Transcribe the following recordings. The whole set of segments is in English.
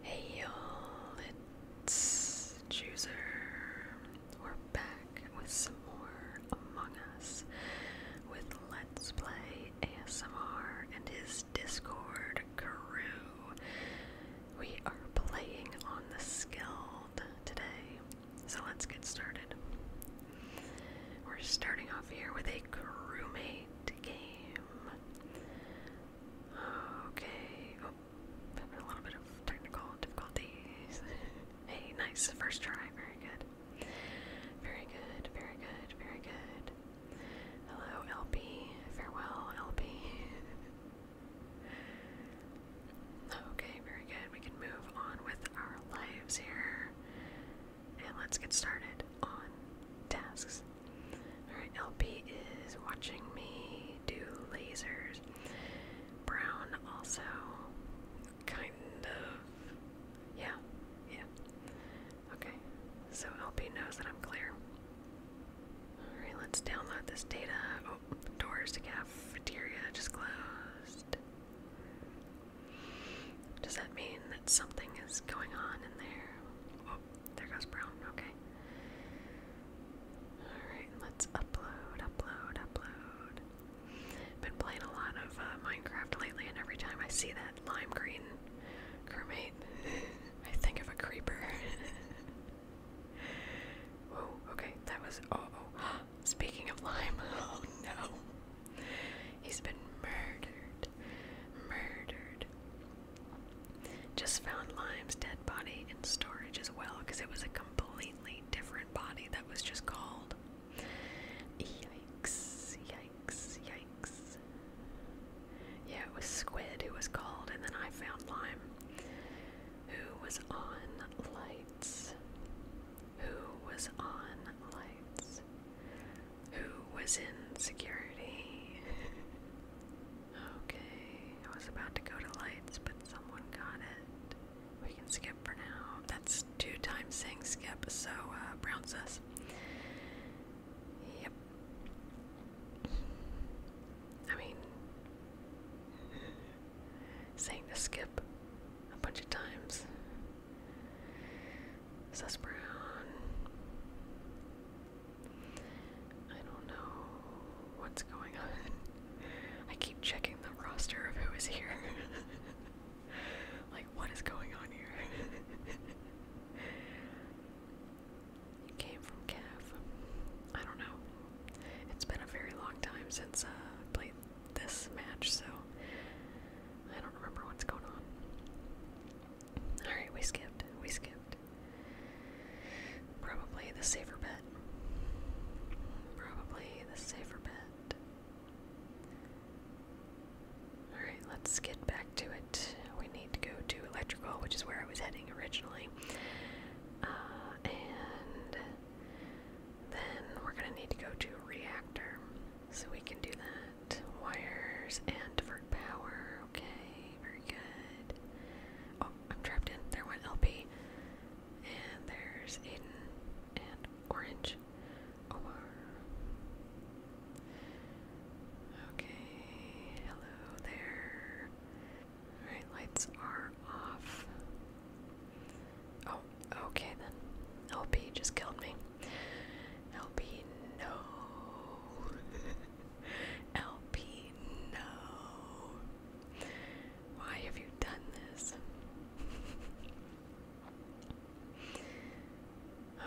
Hey y'all, it's Chooser. We're back with some more Among Us with Let's Play ASMR and his Discord crew. We are playing on the Skilled today, so let's get started. We're starting off here with a crewmate game. Okay. Oh, a little bit of technical difficulties. hey, nice first try. Very good. Very good. Very good. Very good. Hello, LP. Farewell, LP. okay, very good. We can move on with our lives here. And let's get started on tasks. Alright, LP is watching me do lasers. Brown also kind of yeah, yeah. Okay. So LP knows that I'm clear. Alright, let's download this data. Oh, doors to cafeteria just closed. Does that mean that something is going on in there? Oh, there goes brown, okay. Alright, let's upload, upload, upload. Been playing a lot of uh, Minecraft lately, and every time I see that lime green crewmate, I think of a creeper. Whoa, okay, that was. oh. oh speaking of lime, oh no. He's been murdered. Murdered. Just found Lime's dead body in storage as well because it was a completely different body that was just called. Yikes, yikes, yikes. Yeah, it was Squid who was called, and then I found Lime who was on lights. Who was on lights? who was in security. okay, I was about to go to lights, but someone got it. We can skip for now. That's two times saying skip, so uh, Brown says. Yep. I mean, saying to skip a bunch of times. Sus Brown. I don't know what's going on. I keep checking the roster of who is here. like, what is going on here? came from Cav. I don't know. It's been a very long time since uh, I played this match, so I don't remember what's going on. Alright, we skipped. We skipped. Probably the safer bet. Probably the safer bet. Alright, let's get back to it. We need to go to electrical, which is where I was heading originally. Uh, and then we're going to need to go to reactor. So we can do that. Wires and for power. Okay, very good. Oh, I'm trapped in. There went LP. And there's Aiden and Orange. Omar. Oh, okay, hello there. Alright, lights are off. Oh, okay then. LP just killed me. LP, no. LP, no. Why have you done this?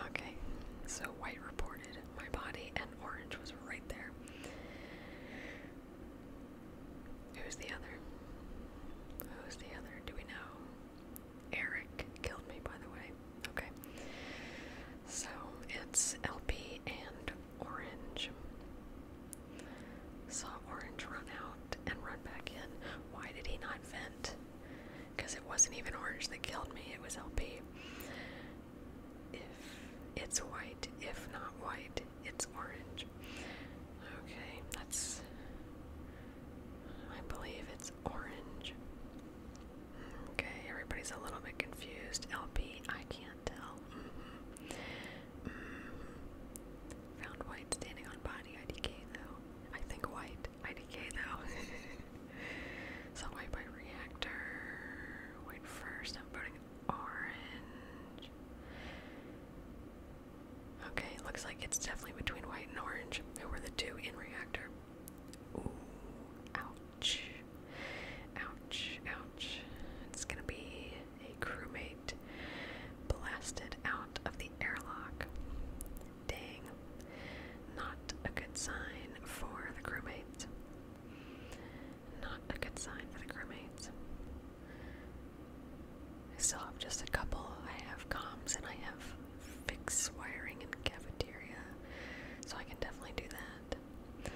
okay, so white reported my body, and orange was right there. Who's the other? Who's the other? Do we know? Eric killed me, by the way. Okay, So it's LP and orange. Saw orange run out and run back in. Why did he not vent? Because it wasn't even orange that killed me, it was LP. If it's white, if not white, it's orange. Okay, that's. I believe it's orange. Okay, everybody's a little bit confused. LP, I can't tell. Mm -hmm. Mm -hmm. Found white standing on body IDK though. I think white IDK though. so white by reactor. White first. I'm voting orange. Okay, looks like it's definitely between white and orange. Who were the two in reactor? ouch. Ouch, ouch. It's gonna be a crewmate blasted out of the airlock. Dang. Not a good sign for the crewmates. Not a good sign for the crewmates. I still have just a couple. I have comms and I have fix wiring in cafeteria, so I can definitely do that.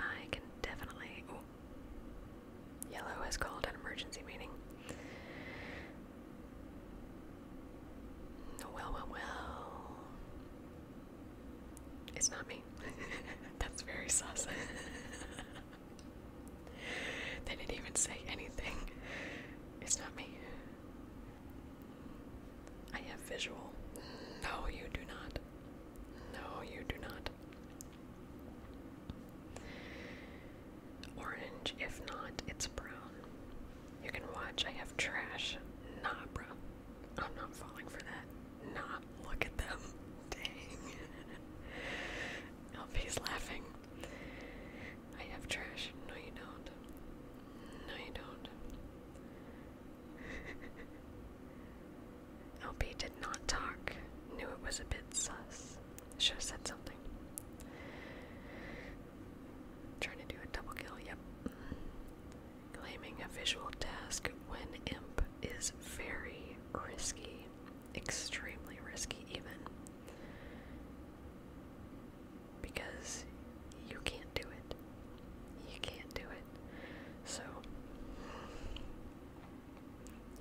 I can definitely. yellow has called an emergency meeting. Well, well, well. It's not me. That's very sus. they didn't even say anything. It's not me. I have visual. No, you do not. No, you do not. Orange, if not, it's brown. You can watch, I have trash. Nah, bro. I'm not falling for that. Not. look at them. Dang. Elfie's laughing. I have trash. No, you don't. No, you don't. LB did not talk, knew it was a bit sus. Should have said something. Trying to do a double kill, yep. Claiming a visual task when imp is very risky. Extremely risky, even because you can't do it. You can't do it. So,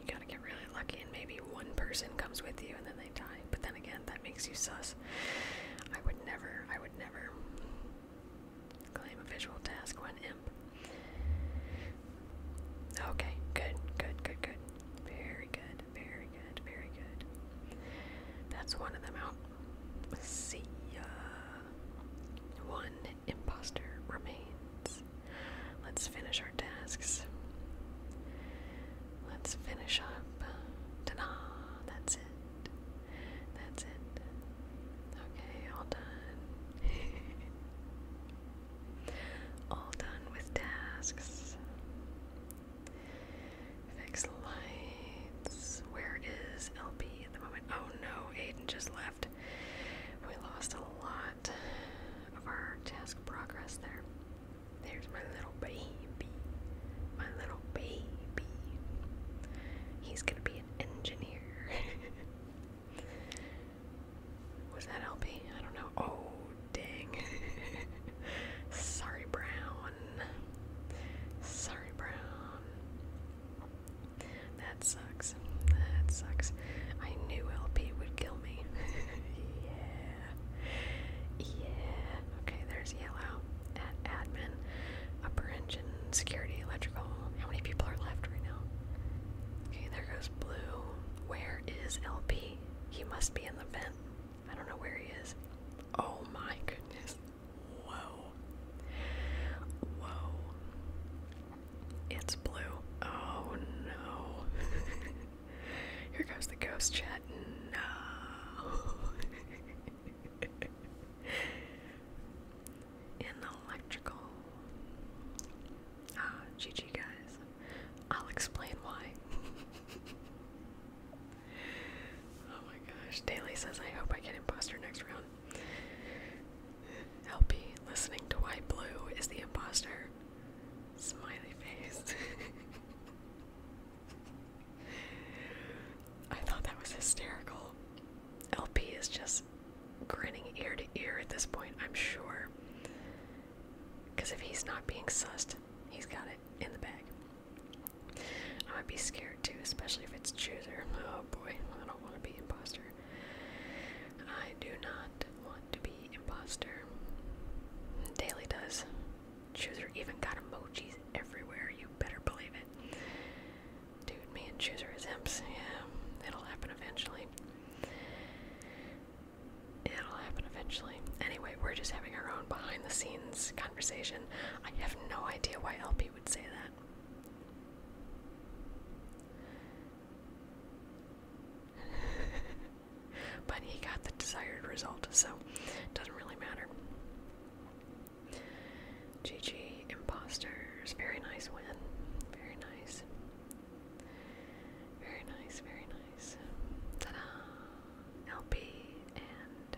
you gotta get really lucky, and maybe one person comes with you and then they die. But then again, that makes you sus. I would never, I would never claim a visual task when imp. Okay, good, good, good, good. Very good, very good, very good. That's one of them out. See ya. One imposter remains. Let's finish our tasks. Let's finish up. Ta da! That's it. That's it. Okay, all done. all done with tasks. Fix lights. Where is LP at the moment? Oh no, Aiden just left. We lost a lot of our task progress there. There's my little baby. My little baby. He's gonna be an engineer. Was that LP? I don't know. Oh, dang. Sorry, Brown. Sorry, Brown. That sucks. That sucks. I knew LP would kill me. yeah. Yeah. Okay, there's yellow at admin. Upper engine, security, electrical. How many people are left right now? Okay, there goes blue. Where is LP? He must be in the vent. I don't know where he is. Oh my goodness. Whoa. Whoa. It's blue. Oh no. Here goes the ghost chat. No. In electrical. Ah, GG guys. I'll explain why. Oh my gosh. Daly says, I hope I get imposter next round. LP, listening to Why Blue is the imposter. Smiley face. I thought that was hysterical. LP is just grinning ear to ear at this point, I'm sure. Because if he's not being sussed, he's got it in the bag. I would be scared too, especially if it's chooser. Oh boy, I don't want to be imposter. I do not want to be imposter. Daily does. Chooser even got emojis everywhere, you better believe it. Dude, me and Chooser is imps. Yeah, it'll happen eventually. It'll happen eventually. Anyway, we're just having our own behind the scenes conversation. I have no idea why LP would say that. but he got the desired result, so doesn't really matter. GG Imposters. Very nice win. Very nice. Very nice, very nice. Ta da! LP and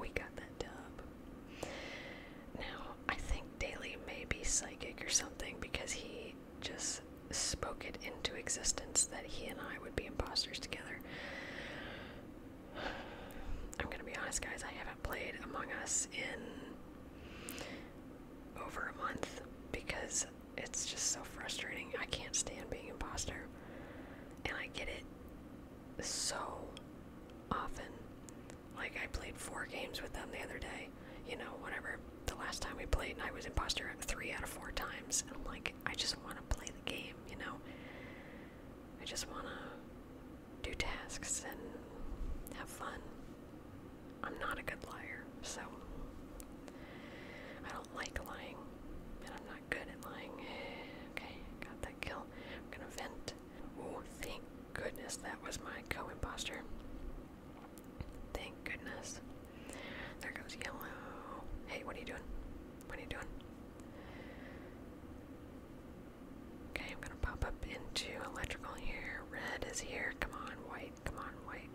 We got that dub. Now, I think Daly may be psychic or something because he just spoke it into existence that he and I would be imposters together. I'm gonna be honest, guys, I haven't played Among Us in over a month because it's just so frustrating. I can't stand being impostor, And I get it so often. Like, I played four games with them the other day, you know, whatever. The last time we played, and I was imposter three out of four times. And I'm like, I just want to play the game, you know? I just want to do tasks and have fun. I'm not a good liar, so I don't like lying, and I'm not not good at lying. Okay, got that kill. I'm gonna vent. Oh, thank goodness that was my co-imposter. Thank goodness. There goes yellow. Hey, what are you doing? What are you doing? Okay, I'm gonna pop up into electrical here. Red is here. Come on, white. Come on, white.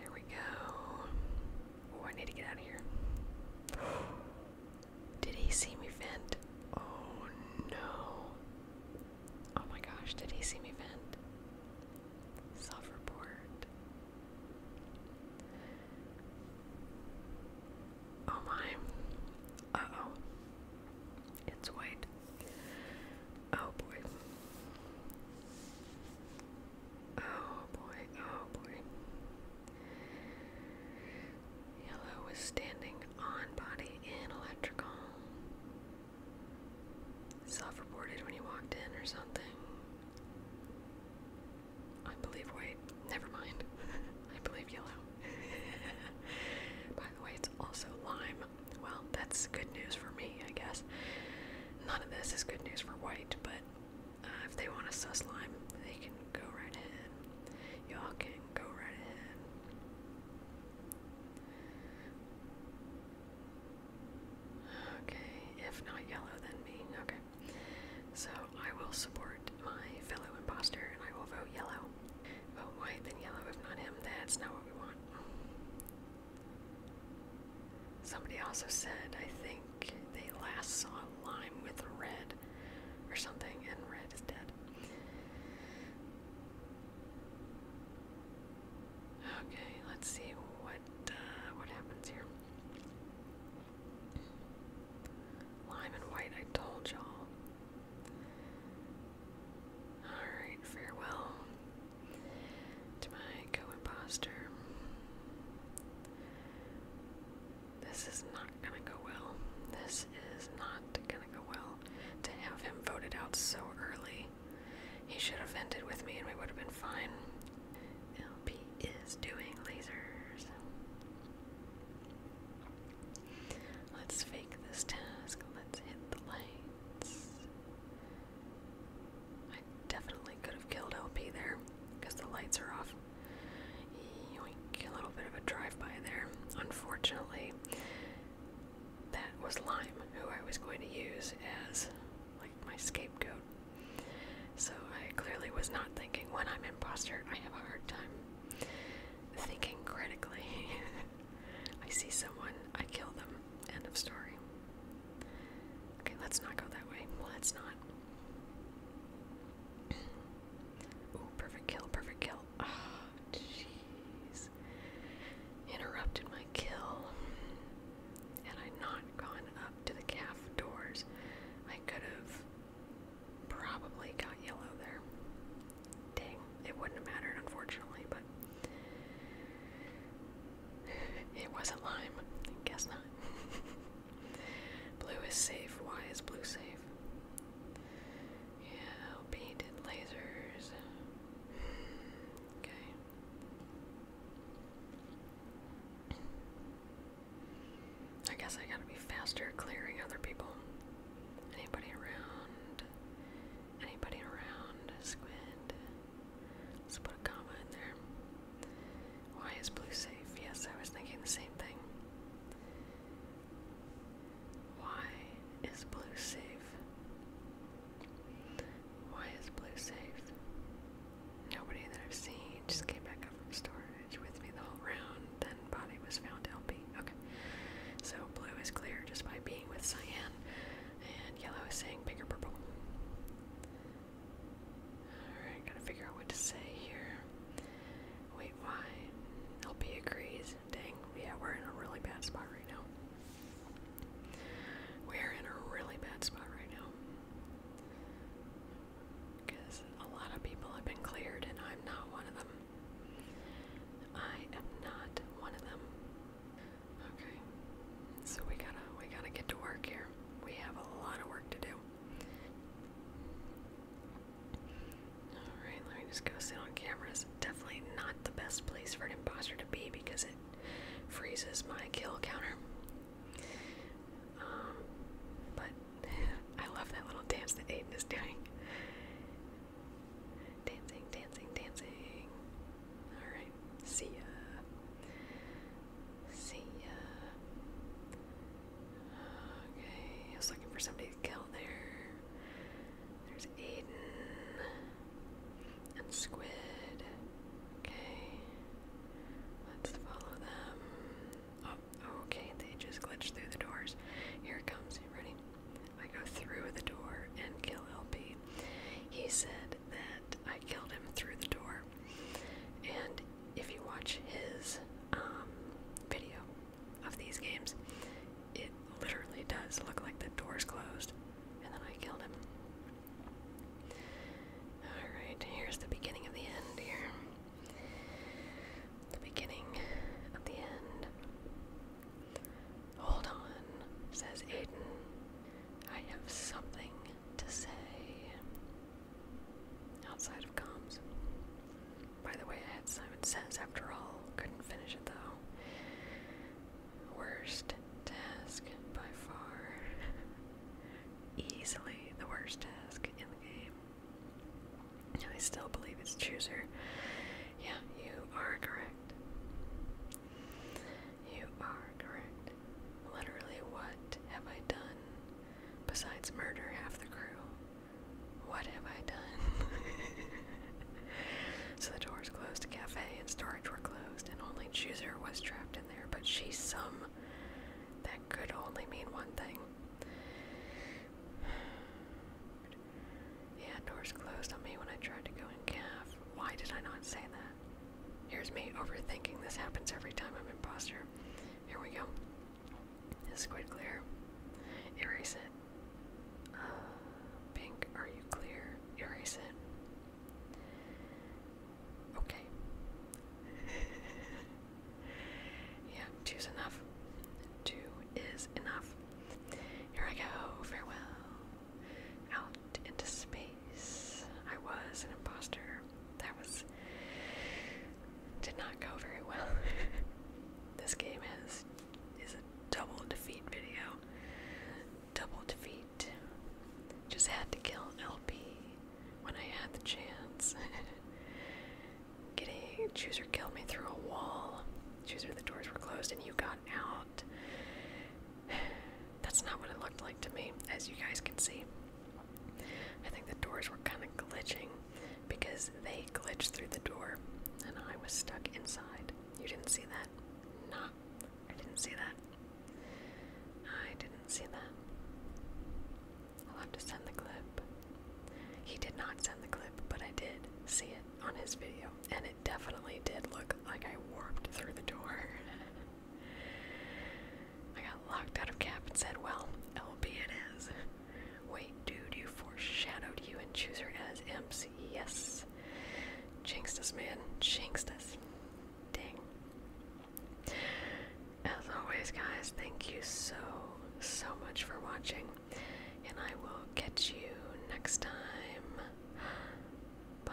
There we go. I need to get out of here. Did he see me vent? Oh no. Oh my gosh, did he see me vent? Self report. Oh my. Uh oh. It's white. Oh boy. Oh boy, oh boy. Yellow was standing on body in electrical. Self reported when he walked in or something. I believe white. Never mind. I believe yellow. By the way, it's also lime. Well, that's good news for me, I guess. None of this is good news for white, but uh, if they want a sus lime, they can go right ahead. Y'all can go right ahead. Okay, if not yellow, then me. Okay. So I will support my fellow imposter and I will vote yellow. Vote white, then yellow. If not him, that's not what we want. Somebody also said, I think they last saw lime with red or something, and red is dead. Okay, let's see what uh, what happens here. Lime and white, I told y'all. Alright, farewell to my co imposter. This is not gonna go well. This is not gonna go well. To have him voted out so early, he should have ended with me and we would have been fine. LP is doing lasers. Let's fake this task. Let's hit the lights. I definitely could have killed LP there because the lights are off a little bit of a drive-by there. Unfortunately, that was Lime, who I was going to use as, like, my scapegoat. So I clearly was not thinking when I'm imposter, I have a hard time thinking critically. I see someone, I kill them. End of story. Okay, let's not go that way. Let's not. Ooh, perfect kill, perfect kill. Oh, jeez. Interrupted my kill. Had I not gone up to the calf doors, I could have probably got yellow there. Dang, it wouldn't have mattered, unfortunately, but it wasn't lime. guess not. Blue is safe. Why is blue safe? Yeah, painted lasers. Okay. I guess I gotta be faster clearing other people. Anybody around? Anybody around? Squid. Let's put a comma there. Why is blue safe? Yes, I was thinking the same thing. Why is blue safe? Why is blue safe? Nobody that I've seen just came back up from storage with me the whole round, then body was found to be Okay. So blue is clear just by being with cyan, and yellow is saying bigger purple. Alright, gotta figure out what to say here. Wait, why? LP agrees. Dang, yeah, we're in a really bad spot right now. We're in a really bad spot right now. Because a lot of people have been cleared, and I'm not one of them. I am not one of them. Okay, so we gotta we gotta get to work here. We have a lot of work to do. Alright, let me just go sit on camera. It's definitely not the best place for an imposter to be because it freezes my kill counter. Um, but I love that little dance that Aiden is doing. Dancing, dancing, dancing. Alright, see ya. See ya. Okay, I was looking for somebody to kill there. There's Aiden and Squid. Okay, let's follow them. Oh, okay, they just glitched through the doors. Here it comes. You ready? I go through the door and kill LP. He said that I killed him through the door, and if you watch his um, video of these games, it literally does look like the door's closed, and then I killed him. Alright, here's the beginning of the end here. The beginning of the end. Hold on, says Aiden. I have something to say outside of comms. By the way, I had Simon Says after all. Couldn't finish it though. Worst task by far. Easily the worst task in the game. I still believe it's Chooser. Yeah, you are correct. You are correct. Literally, what have I done besides murdering half the crew. What have I done? so the doors closed to cafe and storage were closed, and only Chooser was trapped in there, but she's some. That could only mean one thing. Yeah, doors closed on me when I tried to go in calf. Why did I not say that? Here's me overthinking this happens every time I'm imposter. Here we go. This is quite clear. Erase it. Uh, pink, are you clear? Erase it. Okay. yeah, two's enough. Two is enough. Here I go. Farewell. Out into space. I was an imposter that was did not go very well. this game is is a double defeat video. Double defeat. Just had to kill LP when I had the chance. Getting chooser killed me through a wall. Chooser, the doors were closed and you got out. That's not what it looked like to me, as you guys can see. I think the doors were kind of glitching because they glitched through the door and I was stuck inside. You didn't see that? Nah, I didn't see that. I didn't see that. I'll have to send the clip. He did not send the clip, but I did see it on his video, and it definitely did look like I warped through the door. I got locked out of cap and said, well, LB it is. Wait, dude, you foreshadowed you and chooser as MC. Yes. Jinxed us, man. Jinxed us. Ding. As always, guys, thank you so, so much for watching. And I will catch you next time. Bye.